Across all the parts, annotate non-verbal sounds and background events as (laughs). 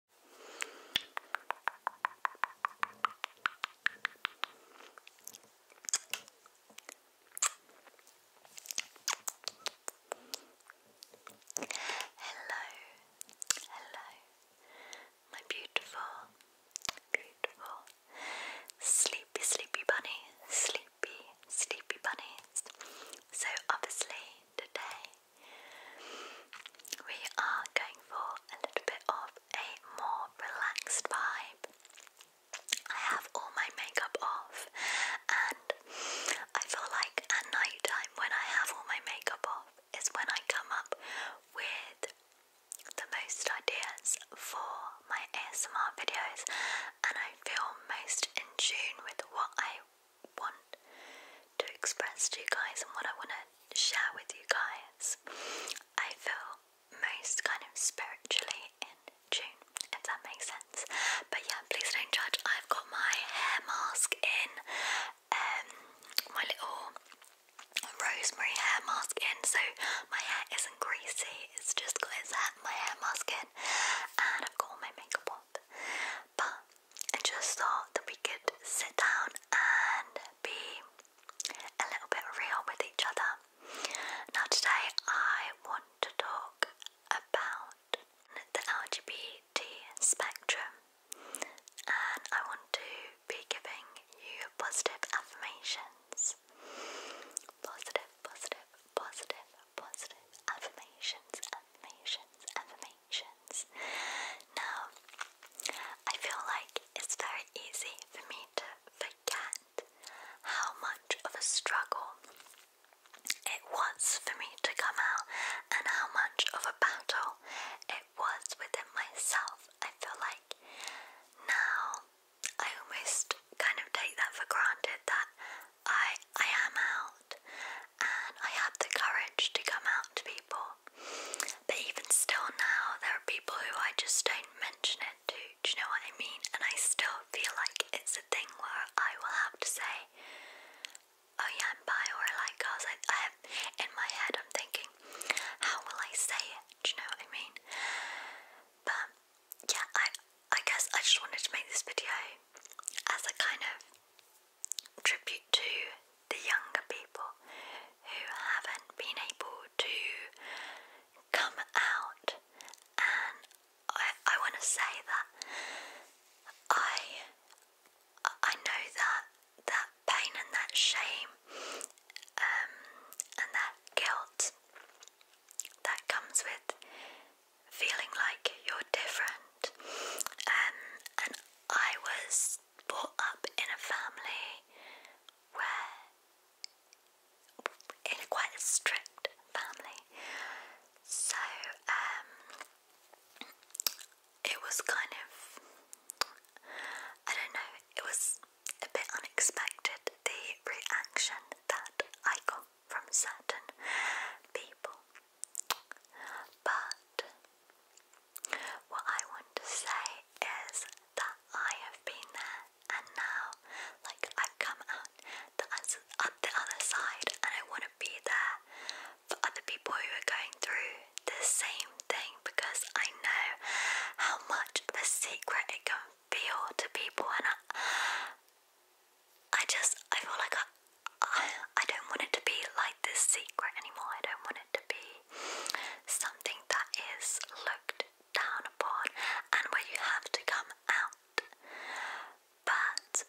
Hello, hello, my beautiful, beautiful, sleepy, sleepy bunny, sleepy, sleepy bunnies. So, obviously, today we are going for a little bit of a more relaxed vibe. I have all my makeup off, and I feel like at night when I have all my makeup off is when I come up with the most ideas for my ASMR videos, and I feel most in tune with what I want to express to you guys and what I want to share with you guys. I feel most kind of spiritually in June, if that makes sense. But yeah, please don't judge. I've got my hair mask in, um, my little rosemary hair mask in, so my hair isn't greasy. It's just got its hat, my hair mask in, and I've got all my makeup on but I just thought that we could sit down and be a little bit real with each other. Now, today I want to talk about the LGBT spectrum and I want to be giving you positive affirmations. Positive, positive, positive, positive affirmations, affirmations, affirmations. Now, I feel like it's very easy for me to forget how much of a struggle it was for me to come out and how much of a battle it was within myself. I feel like now I almost kind of take that for granted that I I am out and I have the courage to come out to people. But even still now there are people who I just don't mention it to, do you know what I mean? And I still feel like it's a thing where I will have to say, Oh yeah, i or I I have in my head I'm thinking, how will I say it? Do you know what I mean? But yeah, I I guess I just wanted to make this video as a kind of tribute to the younger people who haven't been able to come out, and I, I want to say that I I know that that pain and that shame um, and that guilt that comes with feeling like you're different. Um, and I was brought up in a family where, in quite a strict family, so um, it was kind of, I don't know, it was a bit unexpected the reaction that I got from certain people. But what I want to say is that I have been there and now, like, I've come out the, other side and I want to be there for other people who are going through the same thing because I know how much a secret it can feel to people and I just, I feel like I, I, don't want it to be like this secret anymore. I don't want it to be something that is looked down upon and where you have to come out. But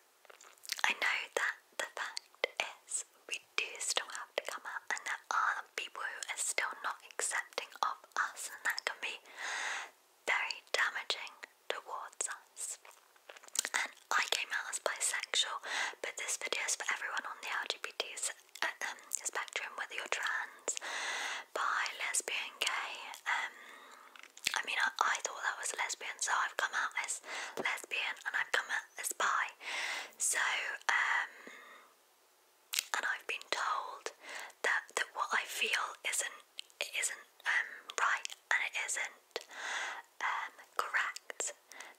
I know that the fact is we do still have to come out, and there are people who are still not accepting of us, and that can be very damaging towards us. And I came out as bisexual, but this video is for everyone on the LGBT uh, um, spectrum, whether you're trans, bi, lesbian, gay. Um, I mean, I, I thought that was lesbian, so I've come out as lesbian and I've come out as bi. So, um, and I've been told that that what I feel isn't it isn't um, right and it isn't um, correct.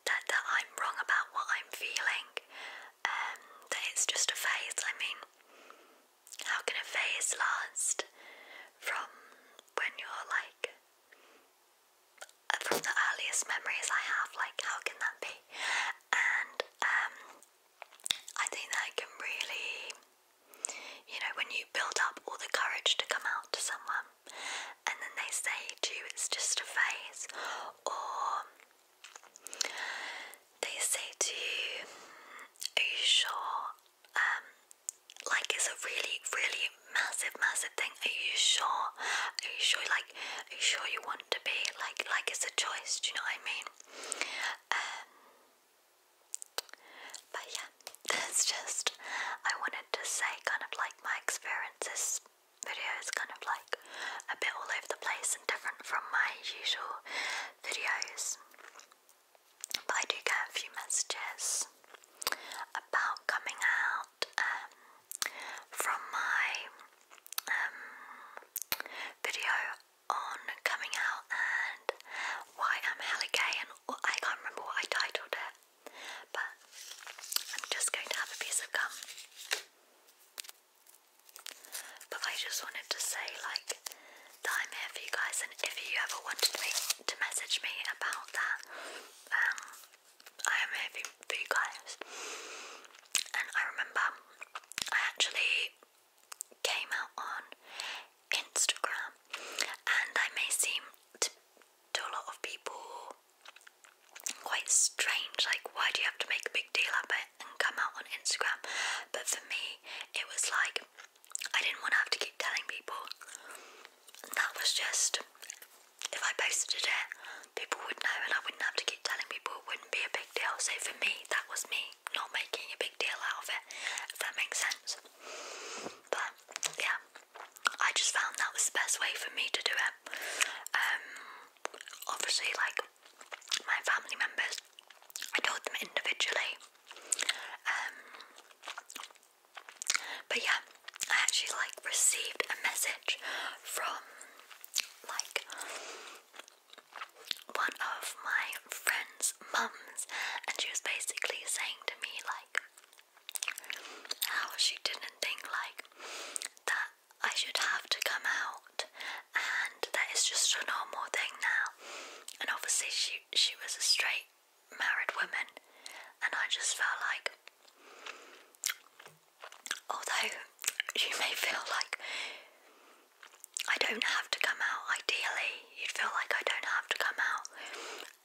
That that I'm wrong about what I'm feeling. Um, that it's just a phase. I mean, how can a phase last from when you're like? Uh, from the earliest memories I have, like how can that be? And um, I think that can really you know, when you build up all the courage to come out to someone and then they say to you it's just a phase, or they say to you, hmm, Are you sure? Um, like it's a really, really massive, massive thing. Are you sure? Are you sure like are you sure you want to be? Like like it's a choice, do you know what I mean? Um, but yeah, (laughs) that's just, I wanted to say kind of like my experiences. video is kind of like a bit all over the place and different from my usual videos. But I do get a few messages about coming out um, from my um, video on coming out and why I'm hella gay and I can't remember what I titled it, but I'm just going to have a piece of gum. But I just wanted to say, like, that I'm here for you guys, and if you ever wanted me to message me about that, um, I am here for you guys. And I remember I actually came out on Instagram, and I may seem to, a lot of people quite strange. Like, why do you have to make a big deal out of it and come out on Instagram? But for me, it was like I didn't want to have to keep telling people. That was just if I posted it, people would know, and I wouldn't have to keep telling people. It wouldn't be a big deal. So for me, that was me not making a big deal out of it, if that makes sense. But yeah, I just found that was the best way for me to do it. Um, obviously, like my family members, I told them individually. Um, but yeah, I actually like received a message from like one of my friend's mums, and she was basically saying to me, like, how she didn't think, like, that I should have to come out, and that it's just a normal thing now. And obviously, she, she was a straight married woman, and I just felt like, although you may feel like I don't have to come out. Ideally, you'd feel like I don't have to come out.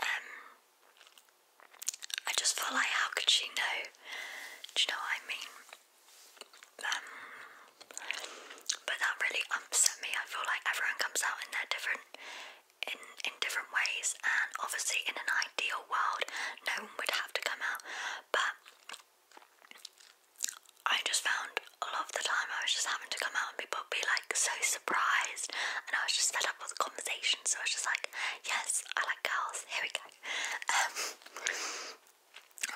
Um, I just feel like how could she know? Do you know what I mean? Um, but that really upset me. I feel like everyone comes out in their different in in different ways, and obviously in an ideal world, no one would have to come out. But I just found a lot of the time I was just having to come out and people be like so surprised and I was just fed up with the conversation so I was just like, yes, I like girls, here we go. (laughs) Um,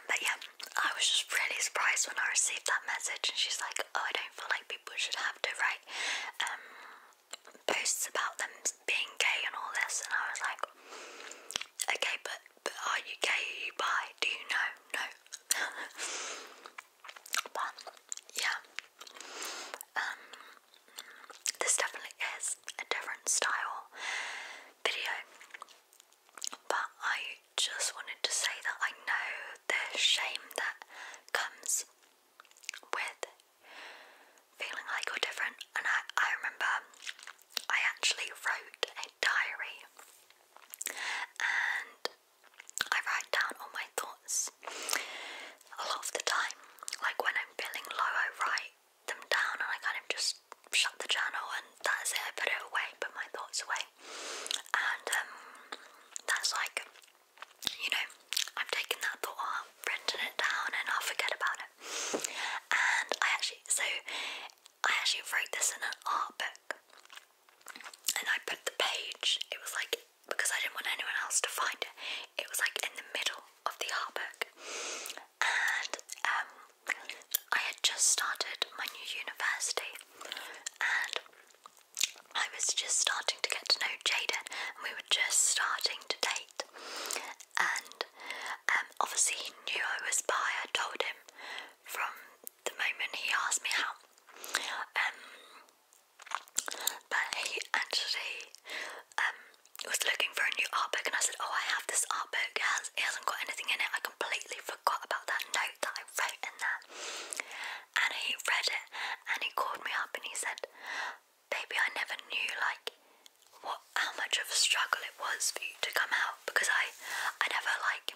but yeah, I was just really surprised when I received that message and she's like, oh, I don't feel like people should have to write um, posts about them being gay and all this and I was like, okay, but but are you gay? Do you know? No. (laughs) but yeah, um, this definitely is a different style video. But I just wanted to say that I know the shame that comes with feeling like you're different, and I I remember I actually wrote a diary and I write down all my thoughts a lot of the time. Like when I'm feeling low, I write them down and I kind of just shut the journal and that's it. I put it away, put my thoughts away. And um, that's like, you know, I've taken that thought out, it down, and i forget about it. And I actually, so I actually wrote this in an art book and I put the page, it was like, because I didn't want anyone else to find it, it was like in the middle of the art book. And um, I had just started my new university and I was just starting to get to know Jaden and we were just starting to date and um, obviously he knew I was bi. I told him from the moment he asked me out. Um, but he actually um, was looking for a new art book, and I said, "Oh, I have this art book. It, has, not got anything in it. I completely forgot about that note that I wrote in that." And he read it, and he called me up, and he said, "Baby, I never knew like what how much of a struggle it was for you to come out because I I never like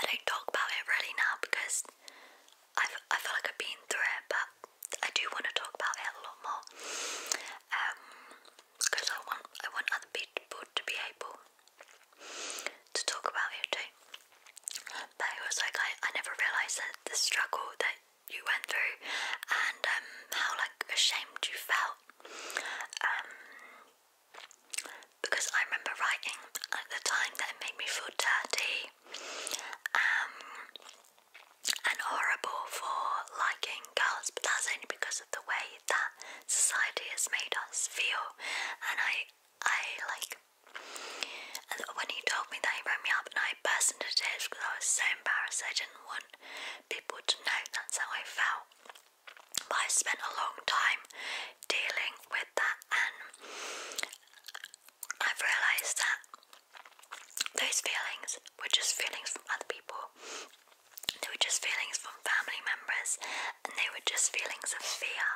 I don't talk about it really now because i I feel like I've been through it but I do want to talk about it a lot more um because I want I want other people to be able to talk about it too but it was like I, I never realised that the struggle that you went through and um, how like ashamed you felt. Um, because I remember writing at the time that it made me feel dirty um, and horrible for liking girls, but that's only because of the way that society has made us feel. And I, I like, when he told me that he rang me up, and I burst into tears because I was so embarrassed. I didn't want people to know that's how I felt. But I spent a long time dealing with that, and I've realised that those feelings were just feelings from other people. They were just feelings from family members, and they were just feelings of fear.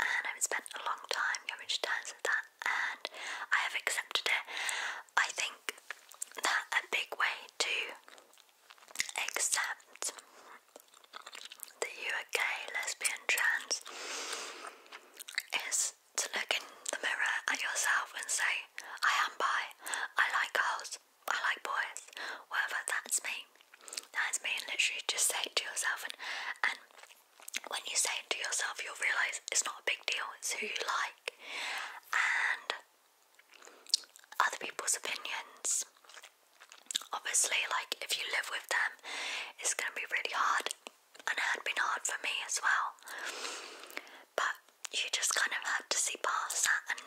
And I've spent a long time coming to terms with that, and I have accepted it. I think that a big way to accept that you are gay, lesbian, trans is to look in the mirror at yourself and say, I am bi, I like girls, I like boys, whatever, that's me. That's me, and literally just say it to yourself. and when you say it to yourself, you'll realise it's not a big deal, it's who you like and other people's opinions. Obviously, like if you live with them, it's gonna be really hard, and it had been hard for me as well. But you just kind of have to see past that,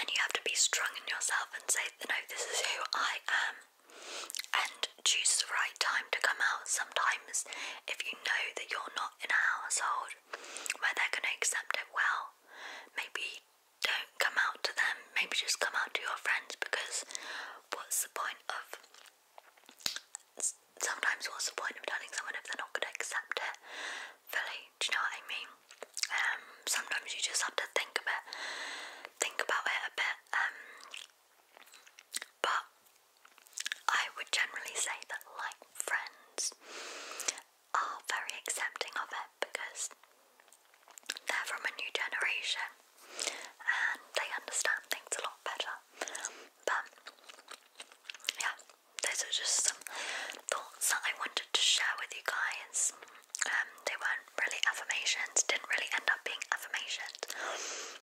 and you have to be strong in yourself and say, no, this is who I am, and choose the right time to come out. Sometimes, if you know that you're not in a household where they're going to accept it well. Maybe don't come out to them, maybe just come out to your friends because what's the point of. Sometimes, what's the point of telling someone if they're not going to accept it fully? Do you know what I mean? Um, sometimes you just have to think of it, think about it a bit. Um, but I would generally say that, like, friends are very accepting of it because they're from a new generation and they understand things a lot better. But yeah, those are just some thoughts that I wanted to share with you guys. Um, they weren't really affirmations, didn't really end up being affirmations,